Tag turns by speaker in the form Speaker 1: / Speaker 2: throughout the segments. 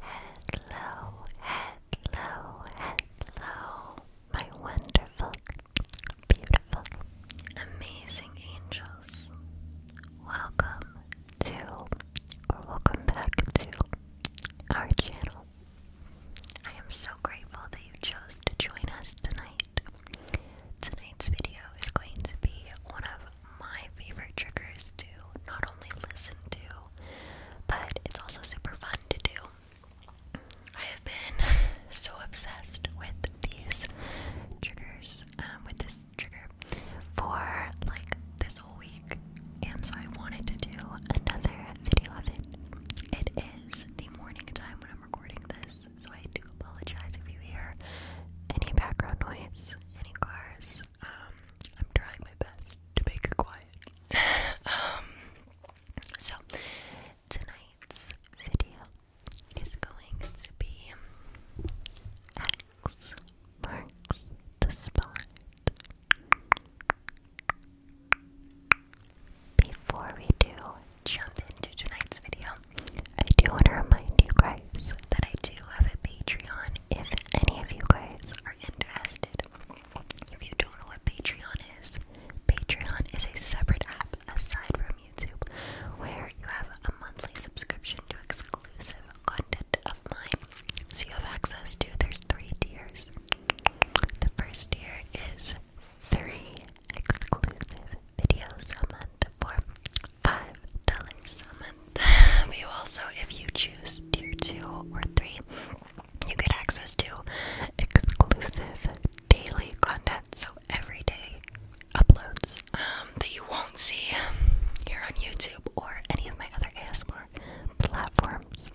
Speaker 1: Hello, hello, hello, my wonderful, beautiful, amazing angels. Welcome to, or welcome back to, our channel. I am so grateful that you chose to join us tonight. Tonight's video is going to be one of my favorite triggers to not only listen to, but it's also super fun to do. I have been so obsessed with these triggers, um, with this trigger, for like this whole week, and so I wanted to do another video of it. It is the morning time when I'm recording this, so I do apologize if you hear any background noise, any cars. Um, I'm trying my best to make it quiet. Um, so tonight's video is going to be X marks the spot. Before we do jump into tonight's video, I do want to remind you guys that I do have a Patreon if any of you guys are interested. If you don't know what Patreon is, Patreon is a separate app aside from YouTube where you have a monthly subscription to exclusive content of mine. So you have access to there's three tiers. The first tier is three exclusive videos a month for five dollars a you also, if you choose tier two or three, you get access to exclusive daily content. So every day uploads um, that you won't see here on YouTube or any of my other ASMR platforms.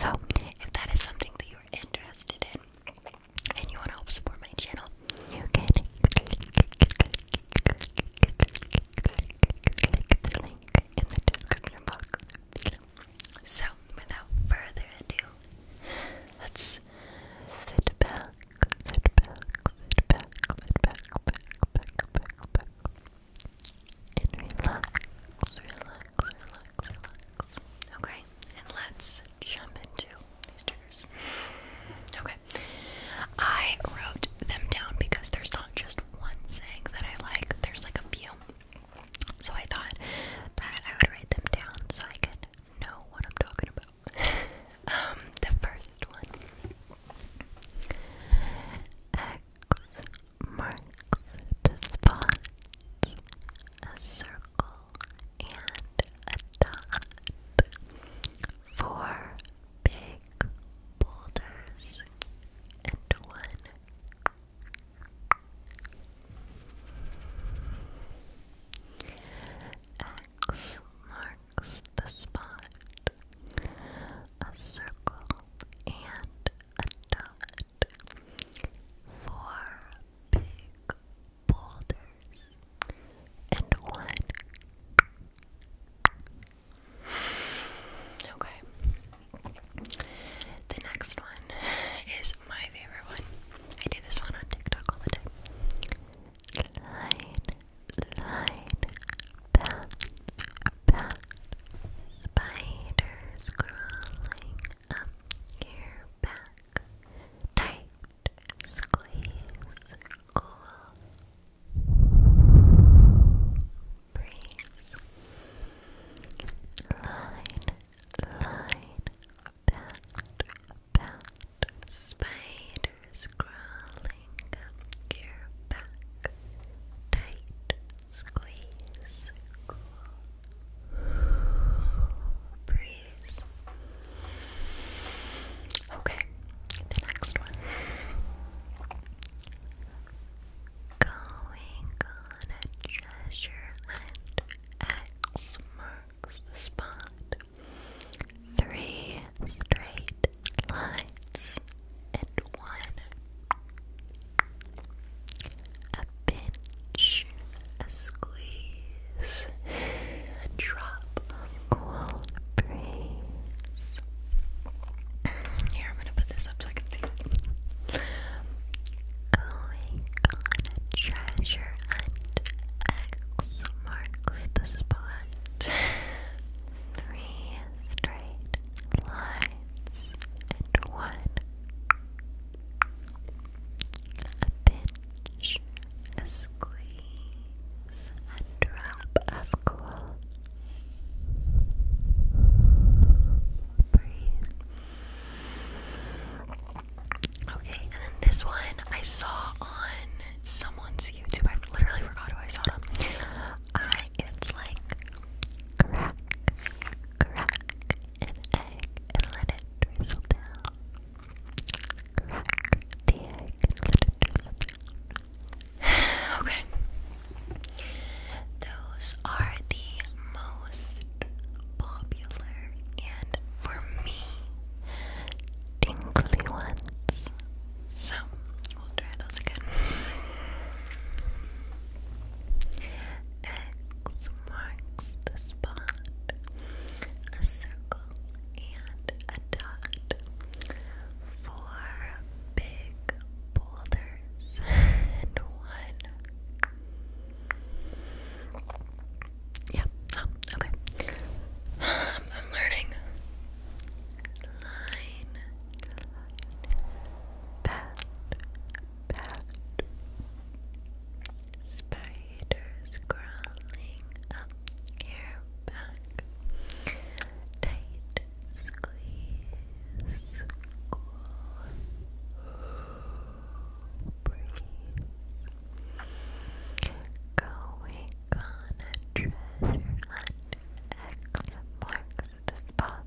Speaker 1: So if that is something that you're interested in and you want to help support my channel, you can click, Click the link in the description box below. So, without further ado, let's sit back, sit back, sit back, sit back, back, back, back, back, and relax, relax, relax, relax. Okay, and let's jump into these triggers. Okay, I wrote them down because there's not just one thing that I like, there's like a few. So I thought that I would write them down so I could know what I'm talking about. Um, the first one X marks the spot, a circle, and a dot. Four big boulders and one. X marks the spot. A circle and a dot. Four big boulders and one. Okay. The next one is my favorite one. I do this one on TikTok all the time. Line, line, path, path, spiders crawling up your back, tight, squeeze, cool, breeze, line, line, bat, bat, spiders crawling up your back, tight, squeeze, breeze. Okay, the next one. Going on a treasure hunt. X marks the Three straight lines and one. A pinch, a squeeze, a drop, cool breeze. Here, I'm gonna put this up so I can see Going on a treasure hunt. marks the spot. Three straight lines and one. pinch, a squeeze. Release drop of cool. Breathe. Okay, and then this one I saw on someone's YouTube. I literally forgot who I saw it on. I it's like crack, crack an egg and let it drizzle down. Crack the egg and let it drizzle okay. Those are the most popular and for me tingly ones. So we'll try those again. X marks the spot. A circle and a dot. Four big boulders and one. Yeah. Oh, okay. I'm, learning. Line, line, bat, Spiders crawling up your back tight squeeze, cool breathe. Going on a treasure hunt, X marks the spot.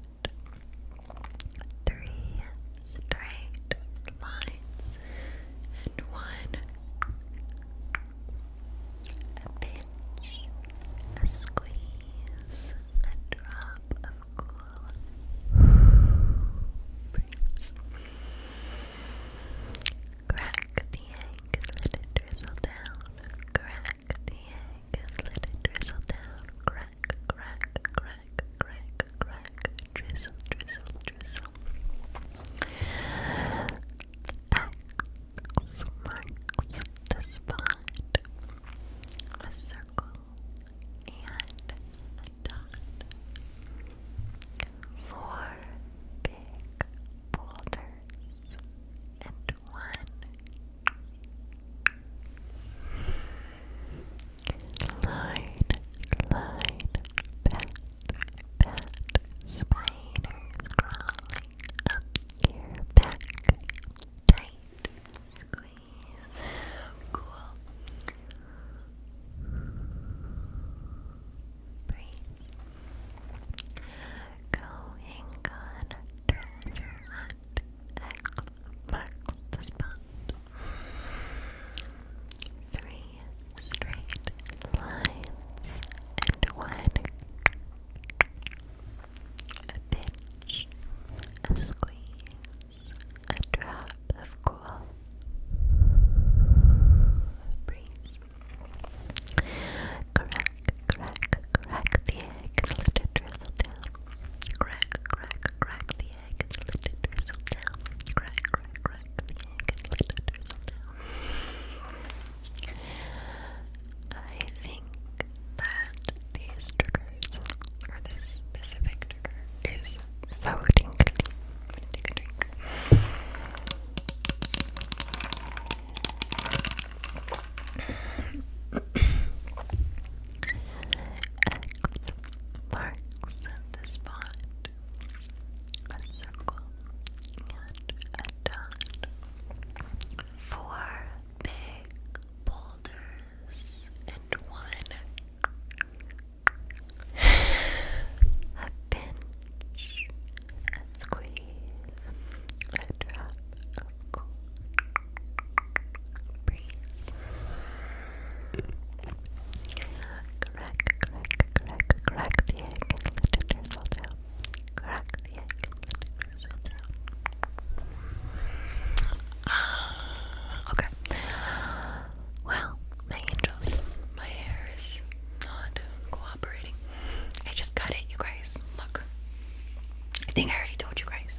Speaker 1: Three straight lines and one a pinch, a squeeze, a drop of cool breeze. Crack the egg let it drizzle down. Crack the egg let it drizzle down. Crack, crack, crack, crack, crack. Drizzle, drizzle, drizzle. X marks the spot. A circle and a dot. Four big boulders and one. Line, line, bat, bat, spiders crawling up your back. Tight squeeze. Cool. Breathe. Going on treasure hunt. X marks the spot. Three straight lines and one a pinch, a squeeze, a drop of cool breeze. Crack, crack, crack the egg and let it drizzle down. Crack, crack, crack the egg and let drizzle down. Crack, crack, crack the egg and let drizzle down. I think that these triggers, or this specific trigger, is so X marks the spot. A circle and down. Four big boulders and one. a pinch, a squeeze, a drop of cool breeze. Crack, crack, crack, crack the egg and let it drizzle down. Ah, okay. Well, my angels, my hair is not cooperating. I just cut it, you guys. Look. I think I already told you guys.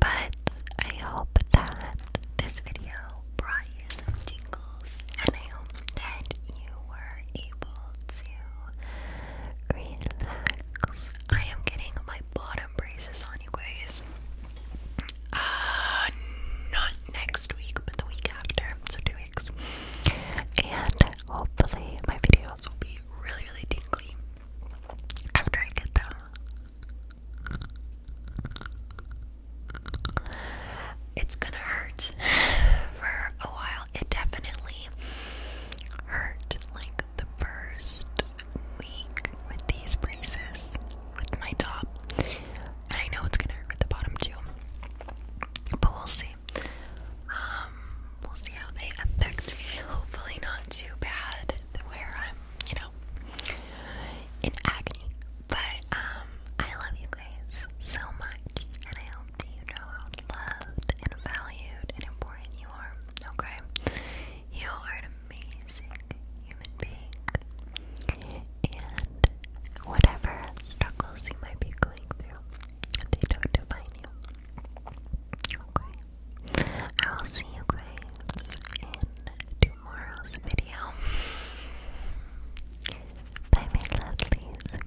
Speaker 1: But I hope that this video brought you some tingles. And I hope that you were able to relax. I am getting my bottom braces on, you uh, not next week, but the week after, so two weeks. And hopefully, my videos will be really, really tingly after I get them. It's gonna hurt for a while. It definitely hurt like the first week with these braces with my top. And I know it's gonna hurt with the bottom too. But we'll see. Um, we'll see how they affect me. Hopefully not too bad where I'm, you know, in agony. But um, I love you guys so much and I now you know how loved and valued and important you are, okay? You are an amazing human being. And whatever struggles you might be going through, they don't define you. Okay? I will see you guys in tomorrow's video. Bye, my lovelies.